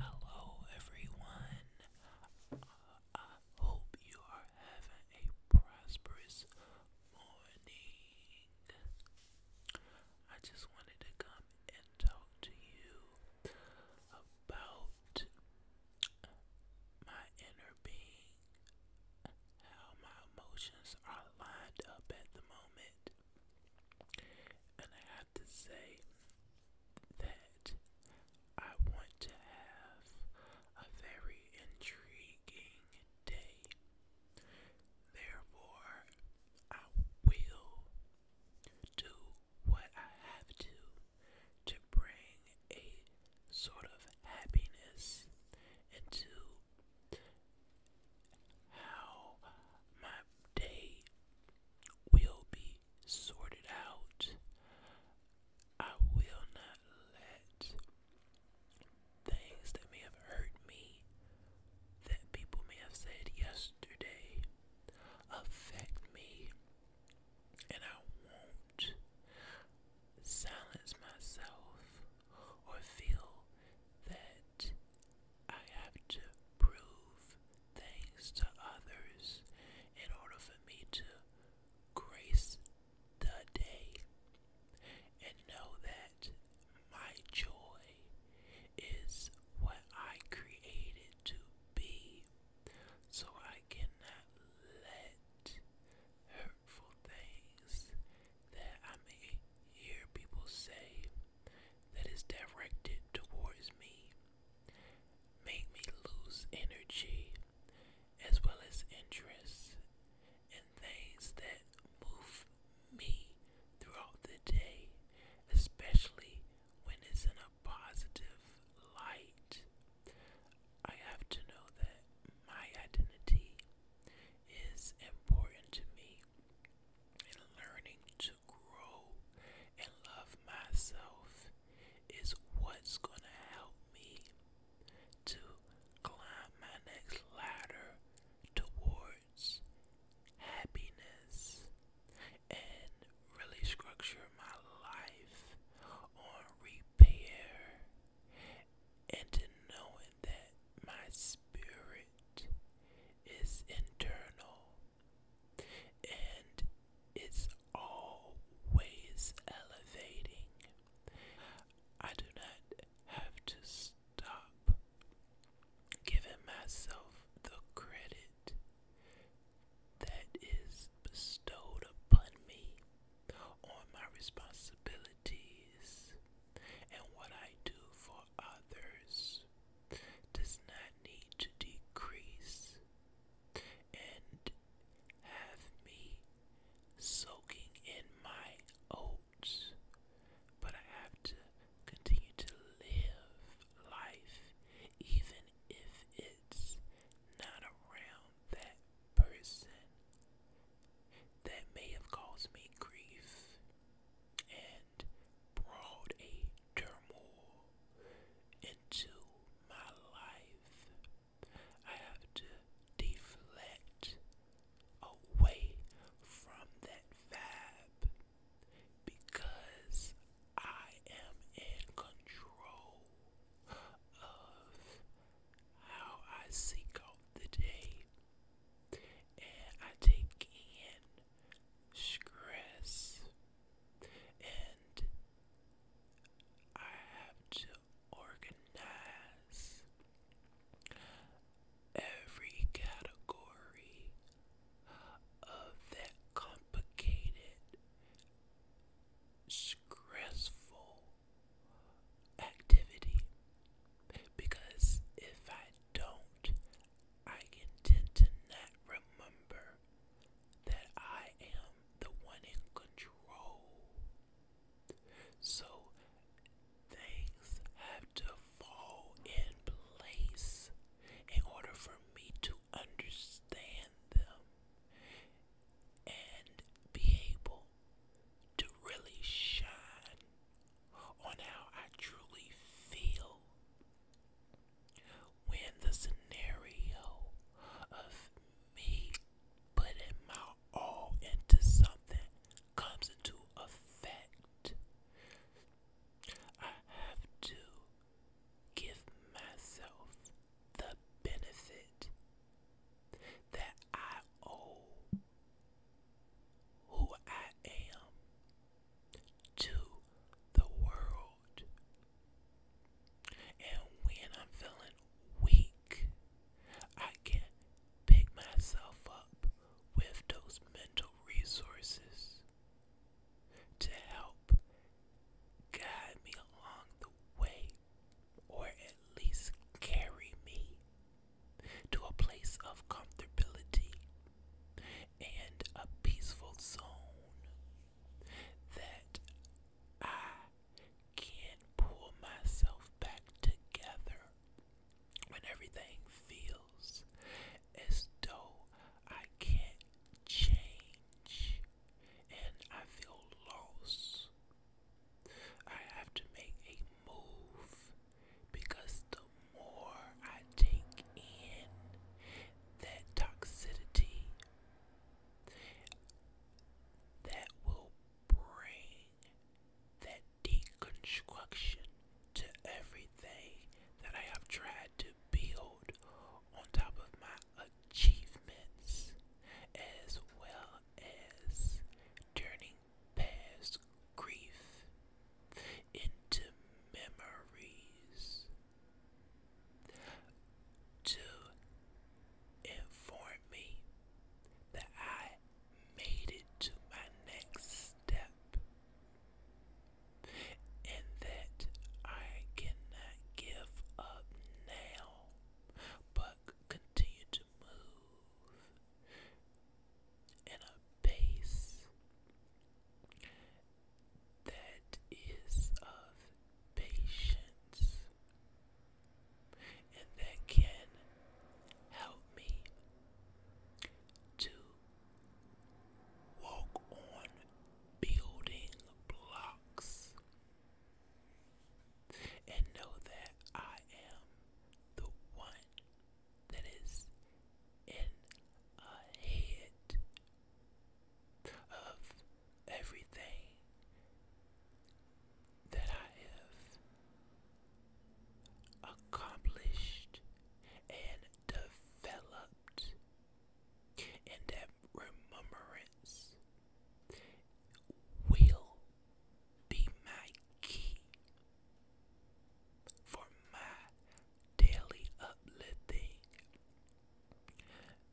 Hello, everyone. I hope you are having a prosperous morning. I just wanted to come and talk to you about my inner being, how my emotions are lined up at the moment, and I have to say that I want to have a very intriguing day. Therefore, I will do what I have to to bring a sort of happiness into how my day will be sorted out. I will not let things that may have hurt me, that people may have said yesterday, affect me. And I won't silence myself or feel that I have to prove things to others in order for me to grace the day and know that my joy is what I created to be. So I cannot let hurt wonderful things that I may hear people say that is directed towards me. Make me lose energy as well as interest in things that move me throughout the day, especially when it's in a positive light. I have to know that my identity is important to me and learning to grow and love myself is what's going to help me to climb my next ladder towards happiness and really structure my life on repair and to knowing that my spirit is internal and is always elevating. I do not have to stop giving myself the credit that is bestowed upon me on my responsibilities and what I do for others does not need to decrease and have me soaking in my oats, but I have to continue to live life even if it's not around that person that may have caused me grief and brought a turmoil into my life. I have to deflect away from that vibe because I am in control of how I seek out the day and I take in stress and I have to organize every category of that complicated stressful activity because if I don't, I can tend to not remember that I am the one in control. So things have to fall in place in order for me to understand them and be able to really shine on how I truly feel when the scenario of me putting my all into something comes into effect. I have to give myself the benefit that I owe who I am to the world. And when I'm feeling weak, I can pick myself up with those mental resources to help guide me along the way, or at least carry me to a place of comfortability and a peaceful zone that I can pull myself back together when everything feels as though I can't change and I feel lost. I have to make a move because the more I take in that toxicity, that will bring that deconstruction to everything that I have tried to to build on top of my achievements as well as turning past grief into memories to inform me that I made it to my next step and that I cannot give up now, but continue to move in a pace that is of patience and that can help me to walk on building blocks and know that I am the one that is in ahead of everything that I have accomplished and developed and remembrance will be my key for my daily uplifting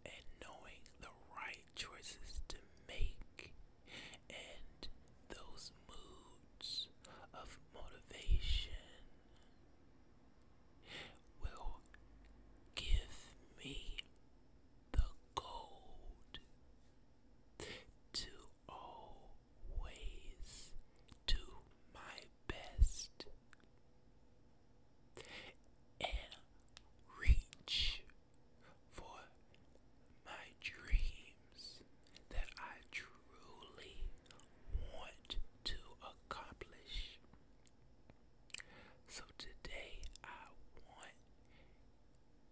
and knowing the right choices to make and those moods of motivation will give me the gold to always do my best and reach for my dream that I truly want to accomplish. So today I want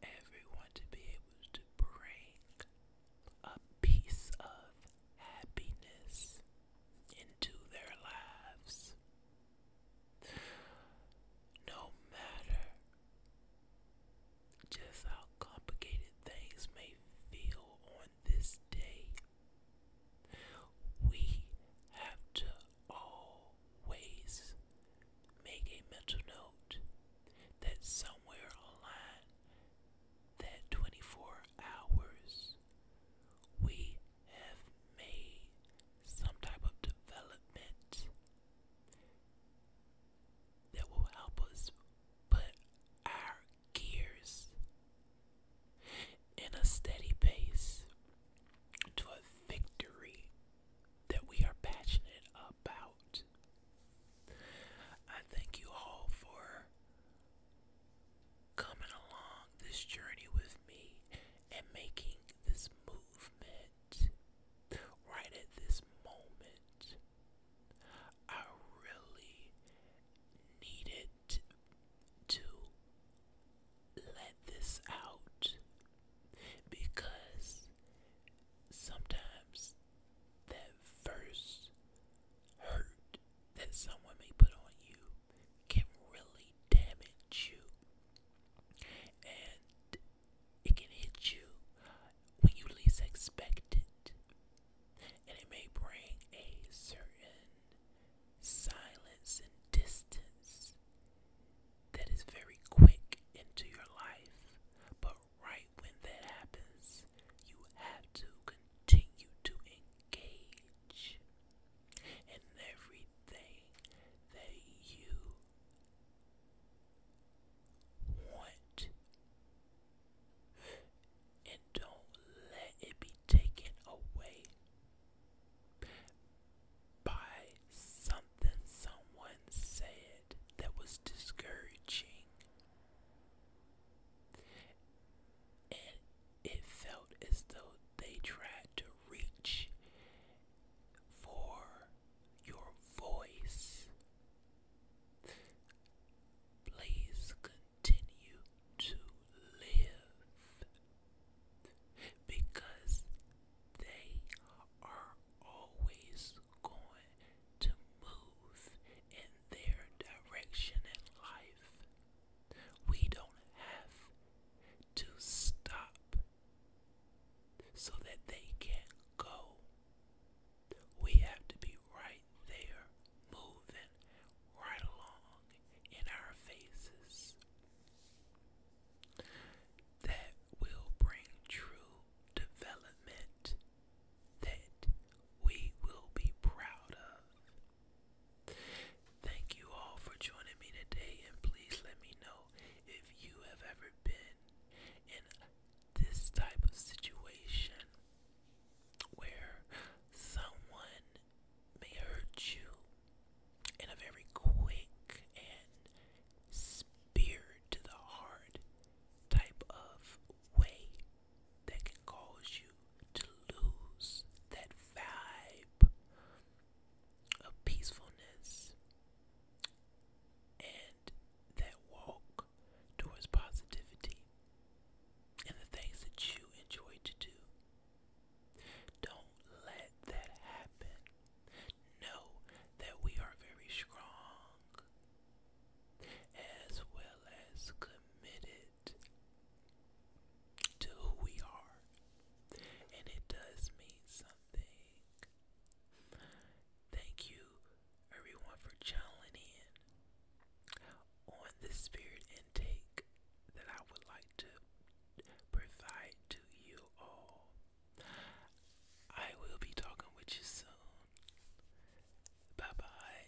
everyone to be able to bring a piece of happiness into their lives. No matter just how complicated things may feel on this day, we have to always make a mental note that somewhere online, that 24 hours, we have made some type of development that will help us but our gears in a steady pace to a victory that we are passionate about. I thank you all for coming along this journey with me and making this movement right at this moment. I really needed to let this out because sometimes that first hurt that someone may put on you can really damage you. And it can hit you when you least expect it, and it may bring a certain silence and distance that is very quick into your life. But right when that happens, you have to continue to engage in everything that you want and don't let it be taken away by something someone said that was discouraging and it felt as though they tried to reach for your voice. Please continue to live because they are always going to move in their direction in life. We don't have to stop so that they can go. We have to be right there, moving right along in our faces. That will bring true development that we will be proud of. Thank you all for joining me today, and please let me know if you have ever been in this type of situation where someone may hurt you in a very quick and spear to the heart type of way that can cause you to lose that vibe of peacefulness and that walk towards positivity and the things that you enjoy to do. Don't let that happen. Know that we are very strong as well as committed to who we are and it does mean something. Thank you, everyone, for channeling in on the spirit intake that I would like to provide to you all. I will be talking with you soon. Bye bye.